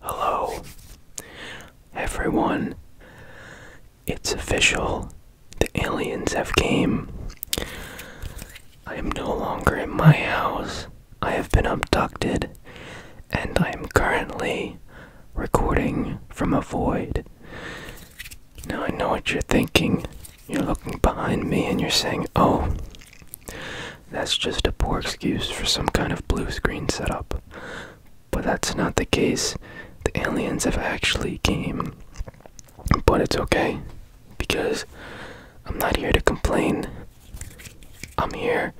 Hello, everyone. It's official. The aliens have came. I am no longer in my house. I have been abducted, and I am currently recording from a void. Now I know what you're thinking. You're looking behind me and you're saying, oh, that's just a poor excuse for some kind of blue screen setup. But that's not the case. The aliens have actually came. But it's okay, because I'm not here to complain. I'm here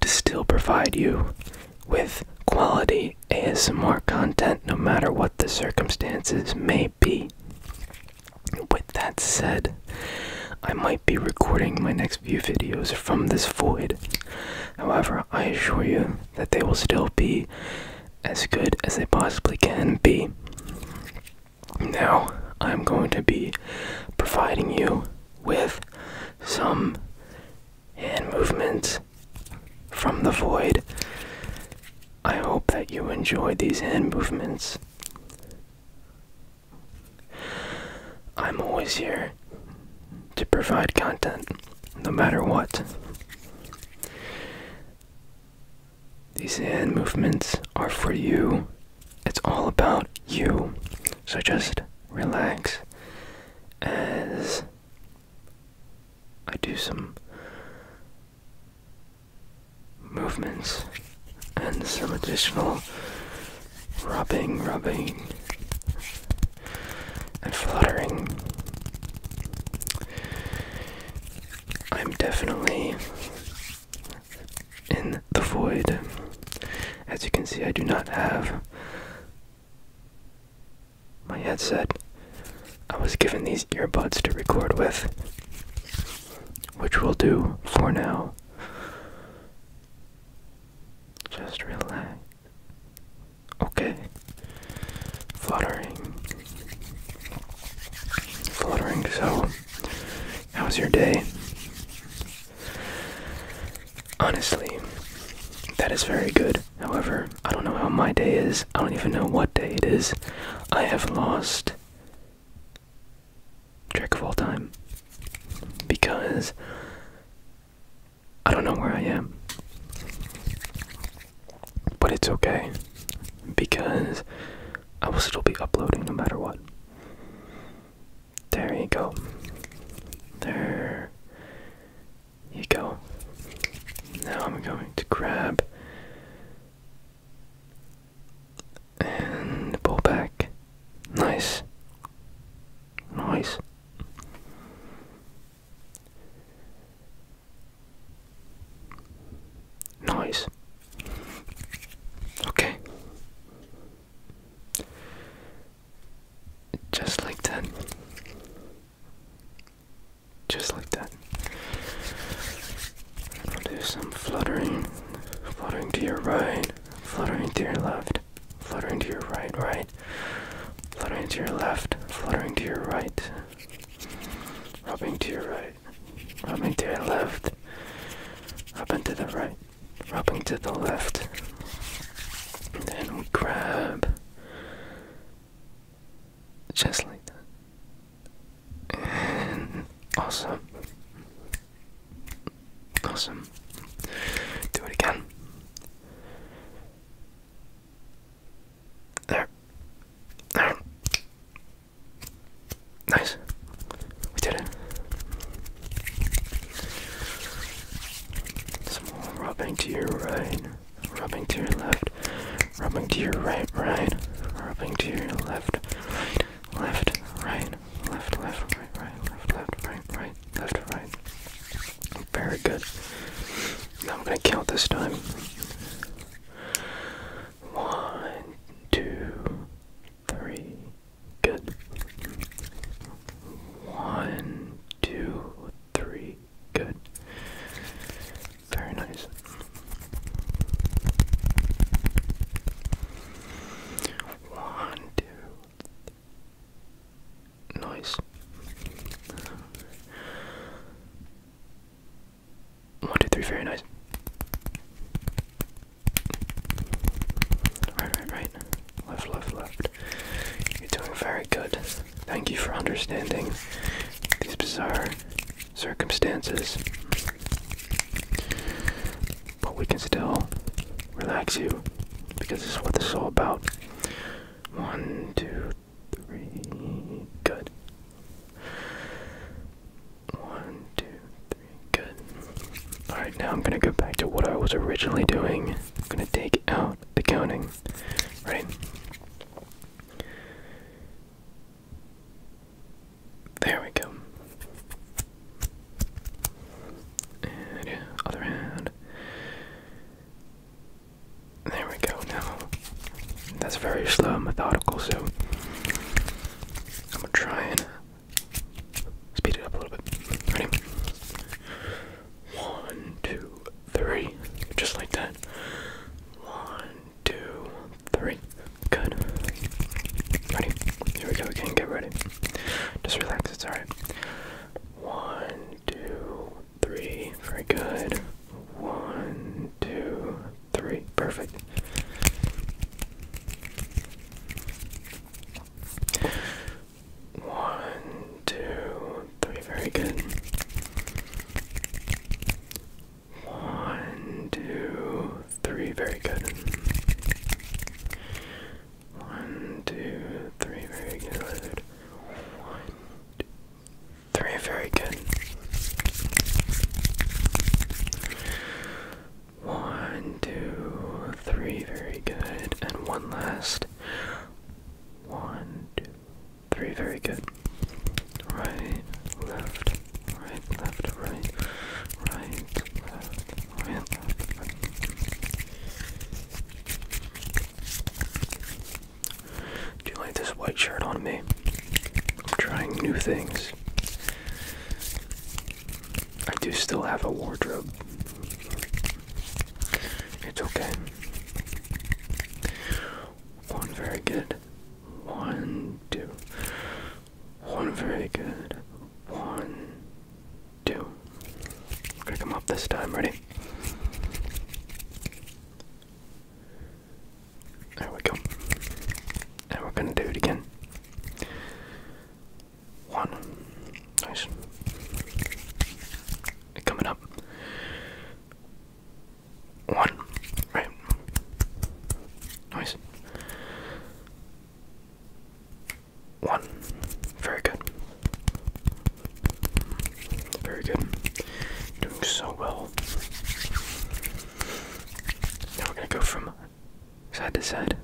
to still provide you with quality ASMR content no matter what the circumstances may be. With that said, I might be recording my next few videos from this void. However, I assure you that they will still be as good as they possibly can be. Now, I'm going to be providing you with some hand movements from the void. I hope that you enjoy these hand movements. I'm always here to provide content, no matter what. These hand movements are for you. It's all about you. So just relax as I do some movements and some additional rubbing, rubbing, and fluttering. I'm definitely in the void. As you can see, I do not have my headset I was given these earbuds to record with, which we'll do for now. Just relax. Okay. Fluttering. Fluttering, so, how's your day? Honestly, that is very good. However, I don't know how my day is. I don't even know what day it is. I have lost track of all time because I don't know where I am. But it's okay because I will still be uploading no matter what. There you go. There you go. Now I'm going to grab and pull back. Nice. Nice. Nice. Okay. Just like that just like that. i some fluttering, fluttering to your right, fluttering to your left, fluttering to your right, right, fluttering to your left, fluttering to your right, rubbing to your right, rubbing to your left, rubbing to the right, rubbing to the left. And grab just like that. awesome. Awesome. Do it again. There. There. Nice. We did it. Some more rubbing to your right rubbing to your left, rubbing to your right, right, rubbing to your left, right, left, right, left, left, right, right, left, left, right, right, left, right. Very good. Now I'm gonna count this time. One, two, three. Good. One, two, three. Good. Very nice. One, two. Nice. One, two, three. Very nice. Right, right, right. Left, left, left. You're doing very good. Thank you for understanding these bizarre circumstances. But we can still relax you because this is what this is all about. One, two, three, good. One, two, three, good. Alright, now I'm gonna go back to what I was originally doing. I'm gonna take out the counting right? There we go. And other hand. There we go. Now, that's very slow and methodical, so I'm gonna try and speed it up a little bit. Ready? One, two, three. Just like that. One, two, three. Good. Ready? Here we go again. Get ready. Just relax. It's alright. One, two, three. Very good. One, two, three. Perfect. One, two, three. Very good. One, two, three. Very good. One, two, three. Very good. One, two, three. Very good. One, two, three. Very good. And one last. One, two, three. Very good. Right, left, right, left, right, right, left, right, Do you like this white shirt on me? I'm trying new things. I do still have a wardrobe. It's okay. One very good. One, two. One very good. One, 2 going gonna come up this time, ready? There we go. And we're gonna do it again. One. Nice. Coming up. One. Right. Nice. One. Very good. Very good. Doing so well. Now we're going to go from Side to side.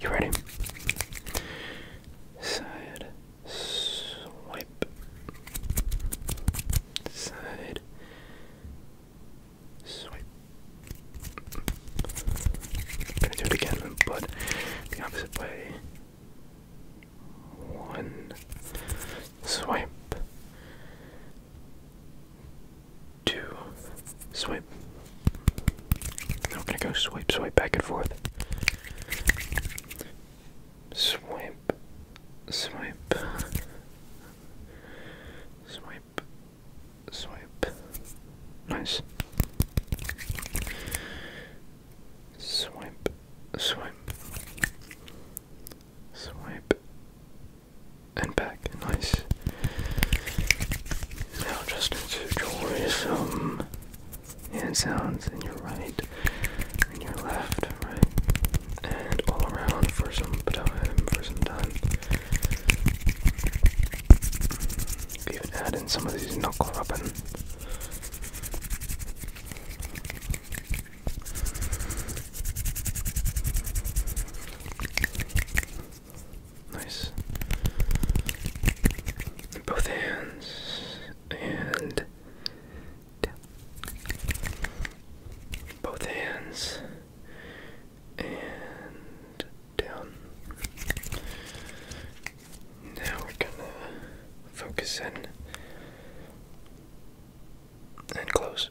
You ready? Side swipe. Side swipe. gonna do it again, but the opposite way. One swipe to swipe. I'm gonna go swipe, swipe back and forth. Swipe, swipe, swipe, swipe. Nice. Swipe, swipe, swipe, and back. Nice. Now just enjoy some hand sounds in your right, in your left, right, and all around for some time, for some time. Even add in some of these knuckle rubbing. Nice. Both hands and tap. Both hands and down. Now we're gonna focus in and close.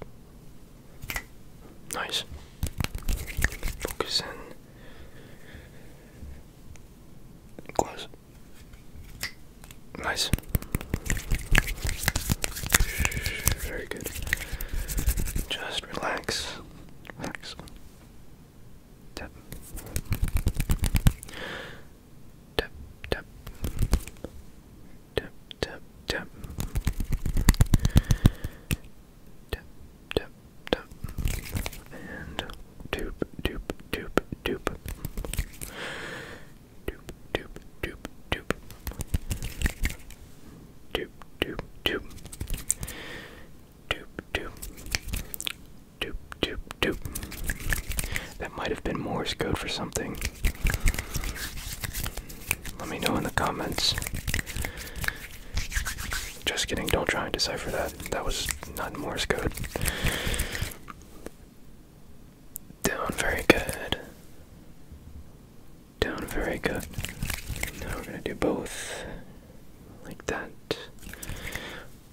Nice. Focus in. Close. Nice. Very good. Just relax. Relax. Tap. Tap, tap tap, tap, tap. Tap, tap, tap. And doop, doop, doop, doop. Doop, doop, doop, doop. Doop, doop, doop. Doop, doop. Doop, doop, doop. That might have been Morse code for something. Let me know in the comments. Just kidding, don't try and decipher that. That was not Morse code. Down very good. Down very good. Now we're gonna do both like that.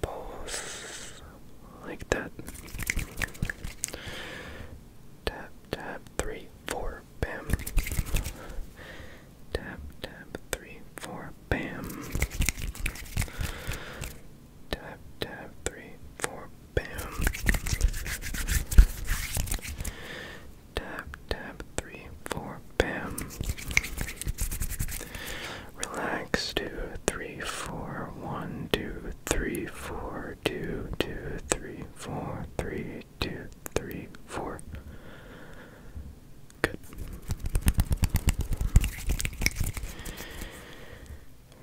Both like that. Tap, tap, three, four, bam. Tap, tap, three, four, bam. Tap, tap, three, four, bam. Tap, tap, three, four, bam. Relax, two, three, four, one, two, three, four, four two two three four three two three four. Good.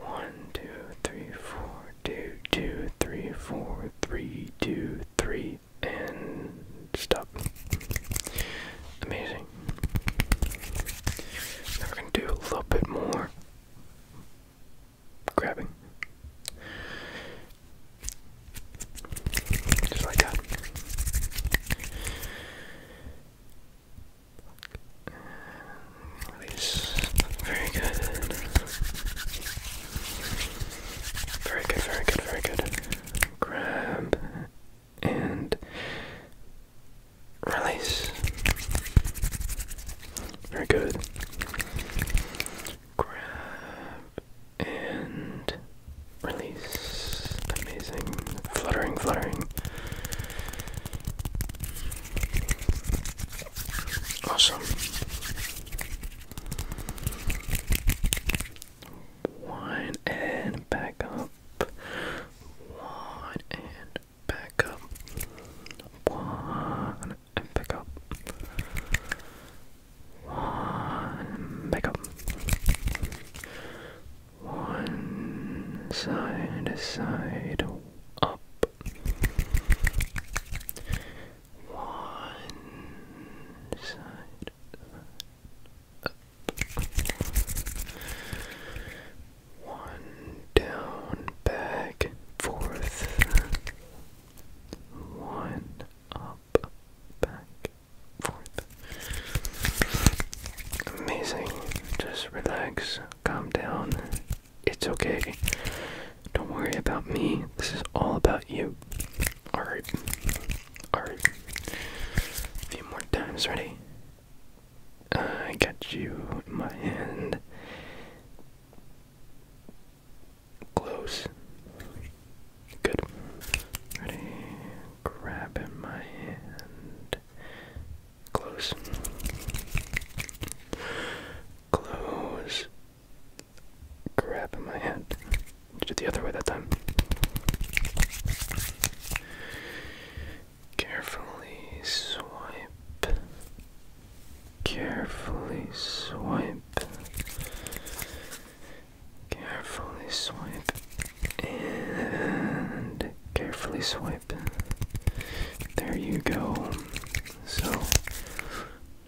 One two three four two two three four three two three and stop. Amazing. Now we're gonna do a little bit more grabbing. Just like that. Release. Very good. Very good, very good, very good. Grab and release. Very good. Grab and release. Amazing. Fluttering, fluttering. Awesome. One and back up. One and back up. One and up. One back up. One side to side up. One side up. One down, back, forth. One up, back, forth. Amazing. Just relax, calm down. It's okay. Don't worry about me. This is all about you. Alright. Alright. few more times. Ready? I got you in my hand. Close. Good. Ready? Grab in my hand. Close. Close. Grab in my hand. Did the other way that time. Carefully swipe. Carefully swipe. Carefully swipe. And carefully swipe. There you go. So,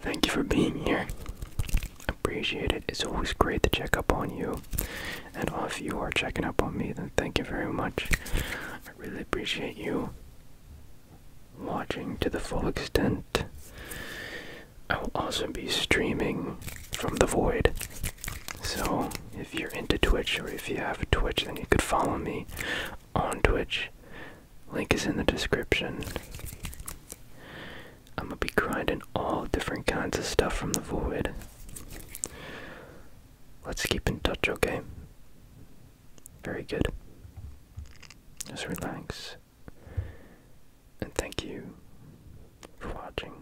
thank you for being here. Appreciate it. It's always great to check up on you. And if you are checking up on me, then thank you very much. I really appreciate you watching to the full extent. I will also be streaming from the void. So, if you're into Twitch or if you have a Twitch, then you could follow me on Twitch. Link is in the description. I'm gonna be grinding all different kinds of stuff from the void. Let's keep in touch, okay? Very good. Just relax. And thank you for watching.